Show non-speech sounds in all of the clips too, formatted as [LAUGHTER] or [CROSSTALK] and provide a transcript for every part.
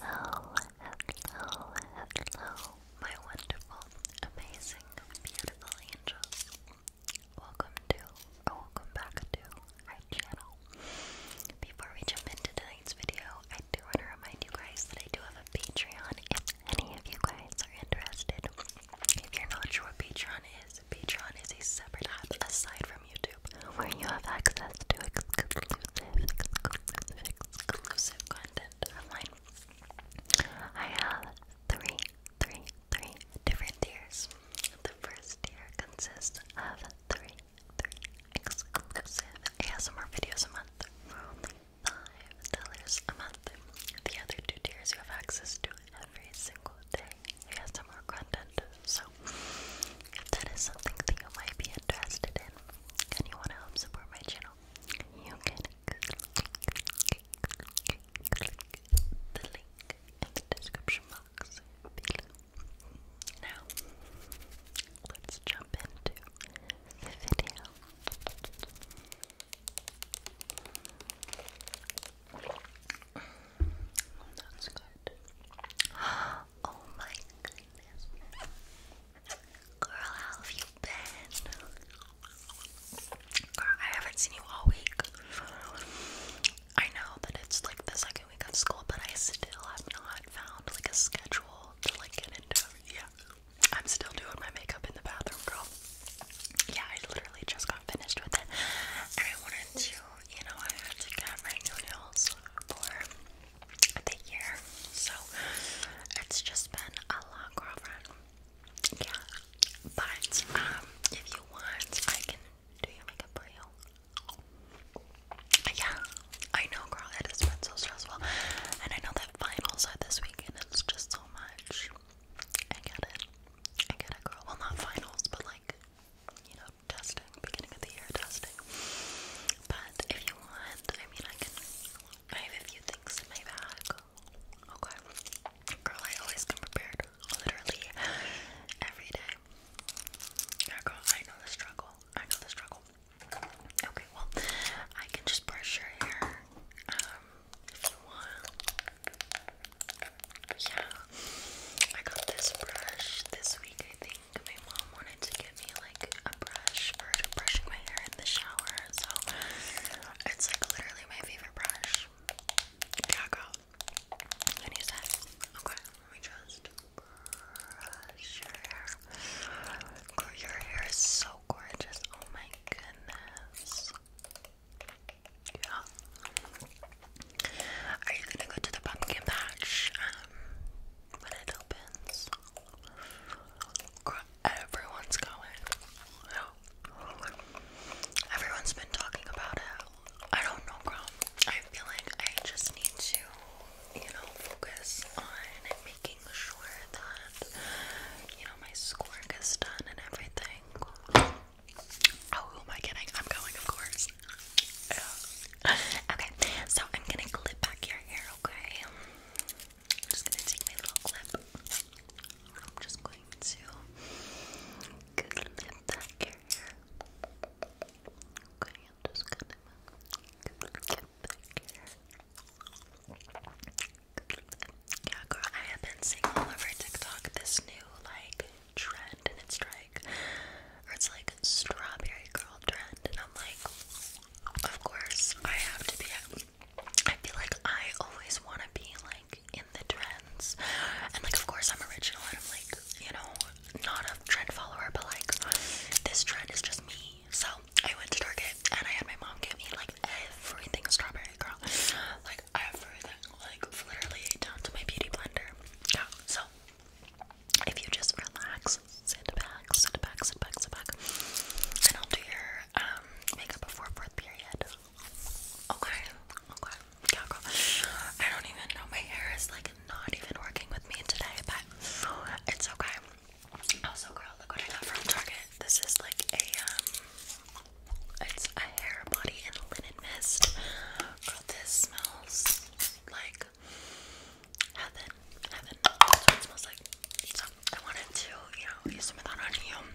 Hello, hello, hello, my wonderful, amazing, beautiful angels. Welcome to, oh, welcome back to our channel. Before we jump into tonight's video, I do want to remind you guys that I do have a Patreon if any of you guys are interested. If you're not sure what Patreon is, Patreon is a separate app aside from YouTube where you have access to exclusive, content I have three, three, three different tiers. The first tier consists of three, three exclusive ASMR videos a month for only a month. The other two tiers you have access to every single day ASMR content, so if that is something that you might be interested in and you want to help support my channel, you can click, the link in the description box Now, let's jump into the video. [GASPS] Oh my goodness. Girl, how have you been? Girl, I haven't seen you all week. I know that it's like the second week of school, but I still have not found like a schedule to like get into. Yeah. I'm still doing my makeup in the bathroom, girl. Yeah, I literally just got finished with it. And I wanted to you know, I had to get my new nails for the year, so it's just been a long girlfriend. Yeah, but um, if you want, I can do your makeup for you. Yeah, I know, girl. It has been so stressful, and I know that finals are this weekend. It's just so much. I get it. I get it, girl. Well, not finals, but like, you know, testing, beginning of the year testing. But if you want, I mean, I can. I have a few things in my bag. Okay. Girl, I always come prepared. Literally every day. girl, I know the struggle. I know the struggle. Okay, well, I can just brush your hair. Um, for a while. Yeah, I got this brush this week. I think my mom wanted to get me like a brush for brushing my hair in the shower, so it's like literally my favorite brush. Yeah, girl. Can you say? Okay, let me just brush your hair. Girl, your hair is so gorgeous. Oh my goodness. Yeah. Are you gonna go to the pumpkin patch um, when it opens? Everyone's going. Yeah. Everyone's been talking about it. I don't know, girl. I feel like I just need to, you know, focus on making sure that, you know, my schoolwork is done and everything. Oh, who am I kidding? I'm going, of course. Okay, so I'm gonna clip back your hair, okay? I'm just gonna take my little clip. I'm just going to clip back your hair. Okay, I'm just gonna clip back your hair. Yeah, girl, I have been seeing all over TikTok this new like trend, and it's like, or it's like strawberry girl trend, and I'm like, of course I have to be. I feel like I always want to be like in the trends, and like of course I'm original, and I'm like, you know, not a trend follower, but like this trend is just me. So I went to Target, and I had my mom get me like everything strawberry girl. Like everything, like literally down to my beauty blender. Yeah. So if you just relax, sit back, sit back, sit back, sit back, and I'll do your um makeup before fourth period. Okay. Okay. Yeah, girl. I don't even know. My hair is like not even working with me today, but it's okay. Also, girl, look what I got from Target. This is like a um it's a hair, body, and linen mist. Girl, this smells like heaven. Heaven. it smells like. I wanted to, you know, use some of that on you.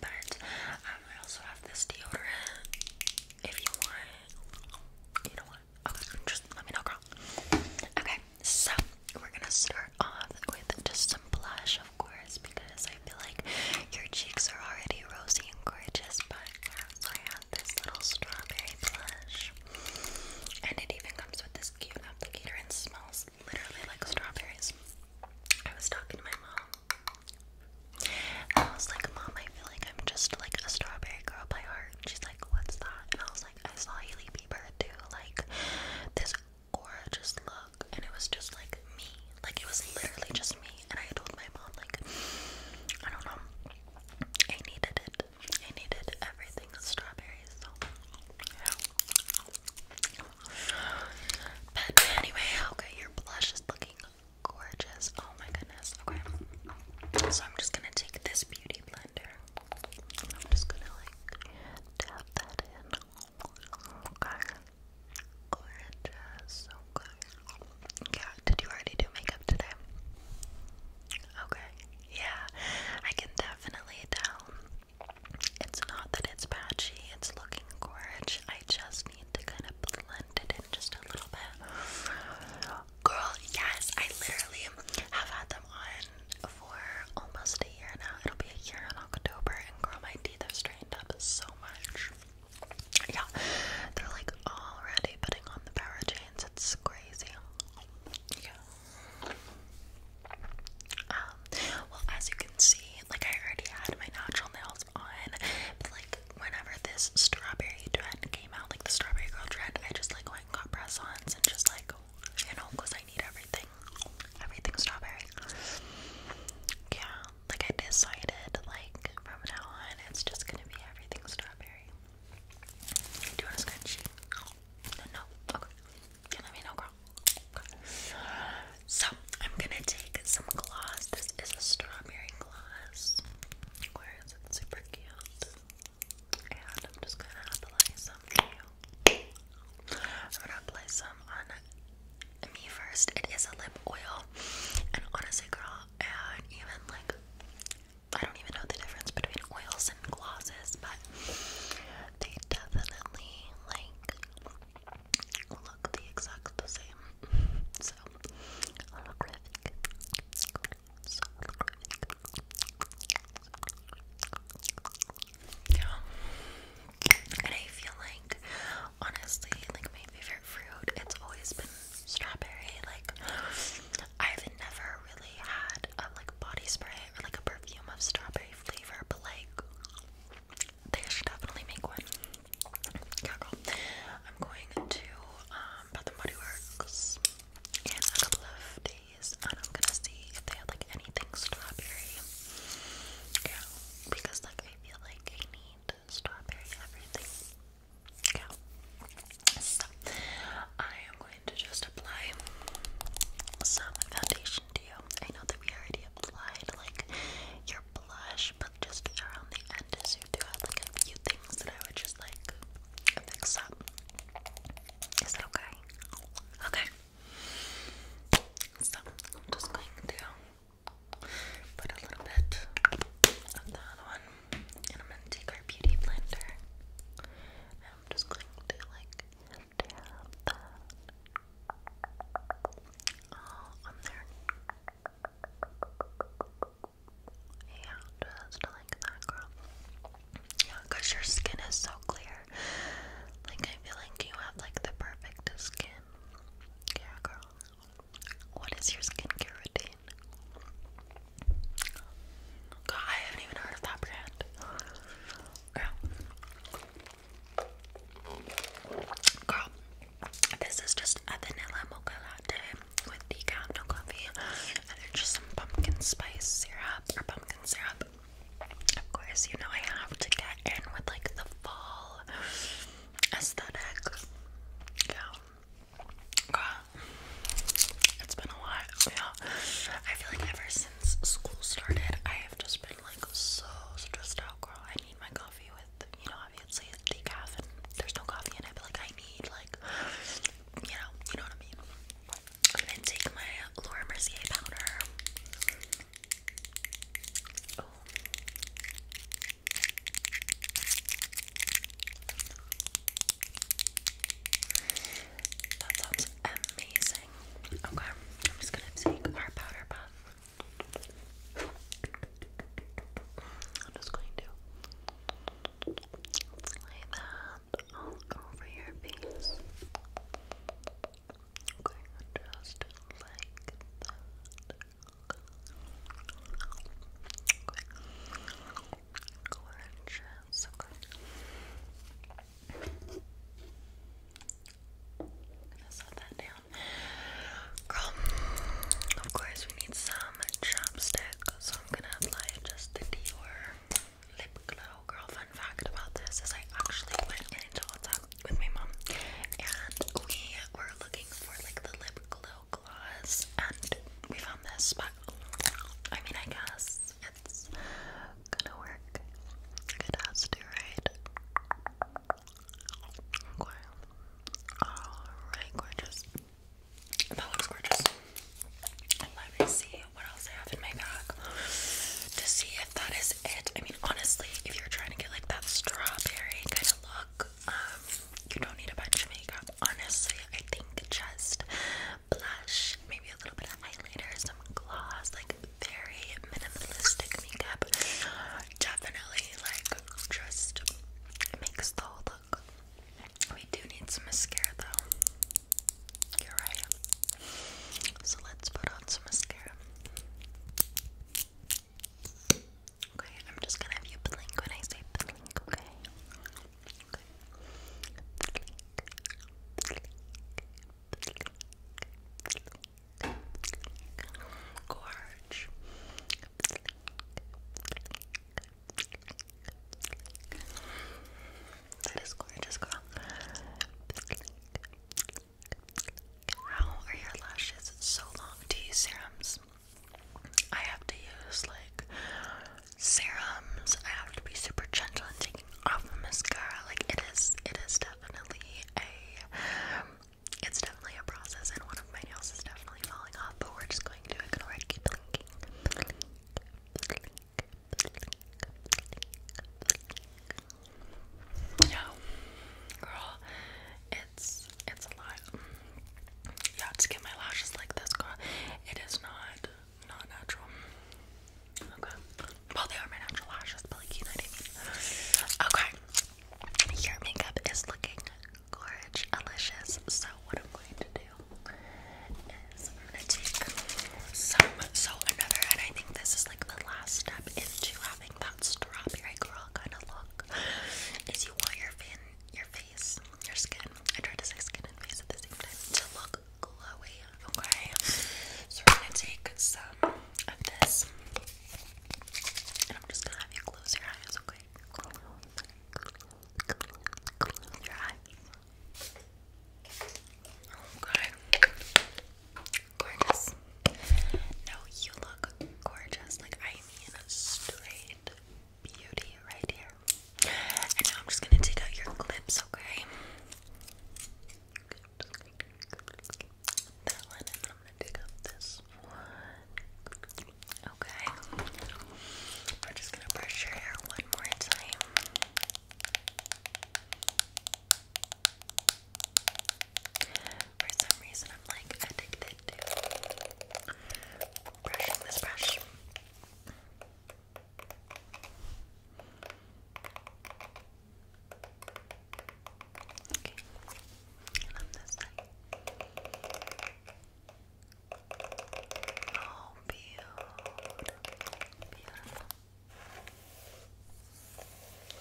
But um, I also have this deodorant. If you want, you know what? just let me know, girl. Okay, so we're gonna start off with just some blush, of course, because I feel like your cheeks are already rosy and gorgeous, but I have this little strawberry blush. And it even comes with this cute applicator and smells literally like strawberries. I was talking to my mom. And I was like, Mom, I feel like I'm just like a strawberry girl by heart. she's like, What's that? And I was like, I saw Hailey Bieber do like this gorgeous look, and it was just like me. Like, it was literally just me. And I told my mom, like, I don't know. I needed it. I needed everything with strawberries. So, yeah. But anyway, okay, your blush is looking gorgeous. Oh my goodness. Okay. So, I'm just gonna take this beauty blender. I'm just gonna, like, tap that in. Okay. Gorgeous. Okay. Yeah, did you already do makeup today? Okay. Yeah, I can definitely tell. It's not that it's patchy, it's looking gorgeous. I just need to kind of blend it in just a little bit. Girl, yes, I literally have had them on for almost a year now. It'll be a year in October, and girl, my teeth have straightened up so much. Yeah, they're like already putting on the power chains. It's crazy. Yeah. Um, well, as you can see, like I already had my natural nails on, like whenever this strawberry trend came out, like the strawberry girl trend, I just like went and got press-ons and just like you know, because I need everything. Everything strawberry. Yeah, like I decided, like, from now on, it's just gonna be everything strawberry. Do you want a scrunchie? No? Okay. You let me know, girl. So, I'm gonna take some gloss. This is a strawberry gloss. Where is it? Super cute. I'm just gonna apply some I'm gonna apply some on me first. It is a lip oil, and on a girl, and even like I don't even know the difference between oils and glosses, but they definitely like look the exact the same. [LAUGHS] So and I feel like, honestly, like my favorite fruit, it's always been strawberry. Like, I've never really had a like body spray or like a perfume of strawberry flavor, but like, they should definitely make one. I'm going to um, Bath and Body Works in a couple of days and I'm gonna see if they have like anything strawberry. Yeah, because like I feel like I need strawberry everything. Yeah. So I am going to just apply some foundation to you. I know that we already applied like your blush, but just around the end you do have like a few things that I would just like fix up. Is that okay? Okay. So I'm just going to put a little bit of that on, and I'm gonna take our beauty blender, and I'm just going to like dab that all on there. Yeah, just like that, girl. Because your skin is so clear. Like, I feel like you have like the perfect skin. Yeah, girl. What is your skincare routine? I haven't even heard of that brand. Girl. Girl. This is just a vanilla mocha latte with decaf, no coffee just some pumpkin spice syrup or pumpkin syrup. Of course, you know I have to get in with like the fall aesthetic. Yeah. God. It's been a lot. Yeah. I feel like ever since school started, I have just been like so stressed out, girl. I need my coffee with, you know, obviously decaf and there's no coffee in it, but like I need like you know, you know what I mean. I'm gonna take my Laura Mercier powder. That sounds amazing. Okay, I'm just gonna take our powder puff. I'm just going to lay that all over your face. just like that. Gorgeous. gonna set that down. Girl, of course we need some chopsticks. So I'm gonna apply just the Dior lip glow. Girl, fun fact about this is I actually went into WhatsApp with my mom and we were looking for like the lip glow gloss and we found this, but I mean I guess it's gonna work. It has to, right? Alright, gorgeous. That looks gorgeous. Let me see what else I have in my bag to see if that is it. I mean, honestly, if you're trying to get like that strawberry kind of look, um, you don't need a bunch of makeup. Honestly, I think just blush, maybe a little bit of highlighter, some gloss, like very minimalistic makeup. Definitely, like, just makes the whole we do need some mascara though. You're right. So let's put on some mascara. Okay, I'm just gonna have you blink when I say blink, okay? Gorge. That is gorgeous, girl. How are your lashes so long? Do you serums? I have to use like serums. I have to be super gentle in taking off mascara. Like it is, it is definitely a, it's definitely a process. And one of my nails is definitely falling off, but we're just going no, girl, it's it's a lie. Yeah, have to get my lashes like this, girl. It is not not natural. Okay. Well, they are my natural lashes, but like you know what I mean. Okay. Your makeup is looking gorge delicious. So what I'm going to do is I'm gonna take some so another and I think this is like the last step into having that strawberry girl kind of look is you want your fin your face, your skin. I tried to say skin and face at the same time to look glowy, okay? So we're gonna take some of this. And I'm just gonna have you close your eyes, okay? your eye. Okay. Gorgeous. No, you look gorgeous. Like I mean straight beauty right here. And now I'm just gonna take out your clips, okay? That one, and then I'm gonna take out this one. Okay. We're just gonna brush your hair one more time. For some reason, I'm like addicted to brushing this brush. Okay. And on this side. Oh, beautiful. Beautiful.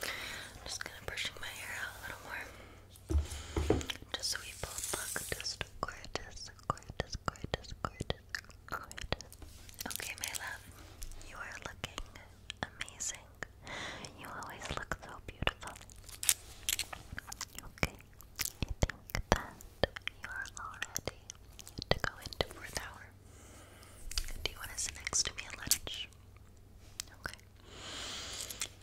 I'm just gonna brushing my hair out a little more. Just so we both look just gorgeous, gorgeous, gorgeous, gorgeous, gorgeous. Okay, my love, you are looking amazing. You always look so beautiful. Okay, I think that you are ready to go into fourth hour. Do you want to sit next to me lunch? Okay.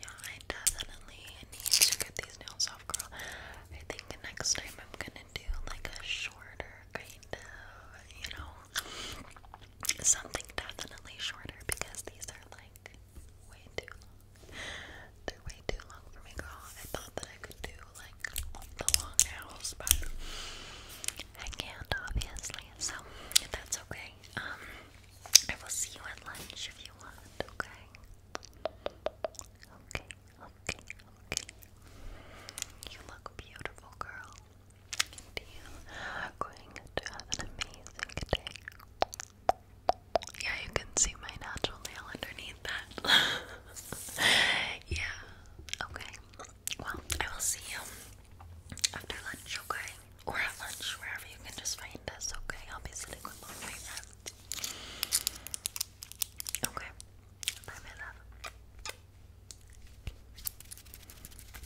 Yeah, definitely need to get these nails off, girl. I think next time I'm gonna do like a shorter kind of, you know, something definitely shorter because these are like like way too long. They're way too long for me, girl. I thought that I could do like the long nails, but I can't, obviously. So that's okay. Um, I will see you at lunch if you want. Okay. Okay. Okay. Okay. You look beautiful, girl. And you are going to have an amazing day. Yeah, you can see my natural nail underneath that. [LAUGHS] yeah. Okay. Well, I will see you after lunch, okay? Or at lunch, wherever you can just find us, okay? I'll be sitting with all my friends. Okay. Bye, my love.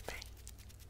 Bye.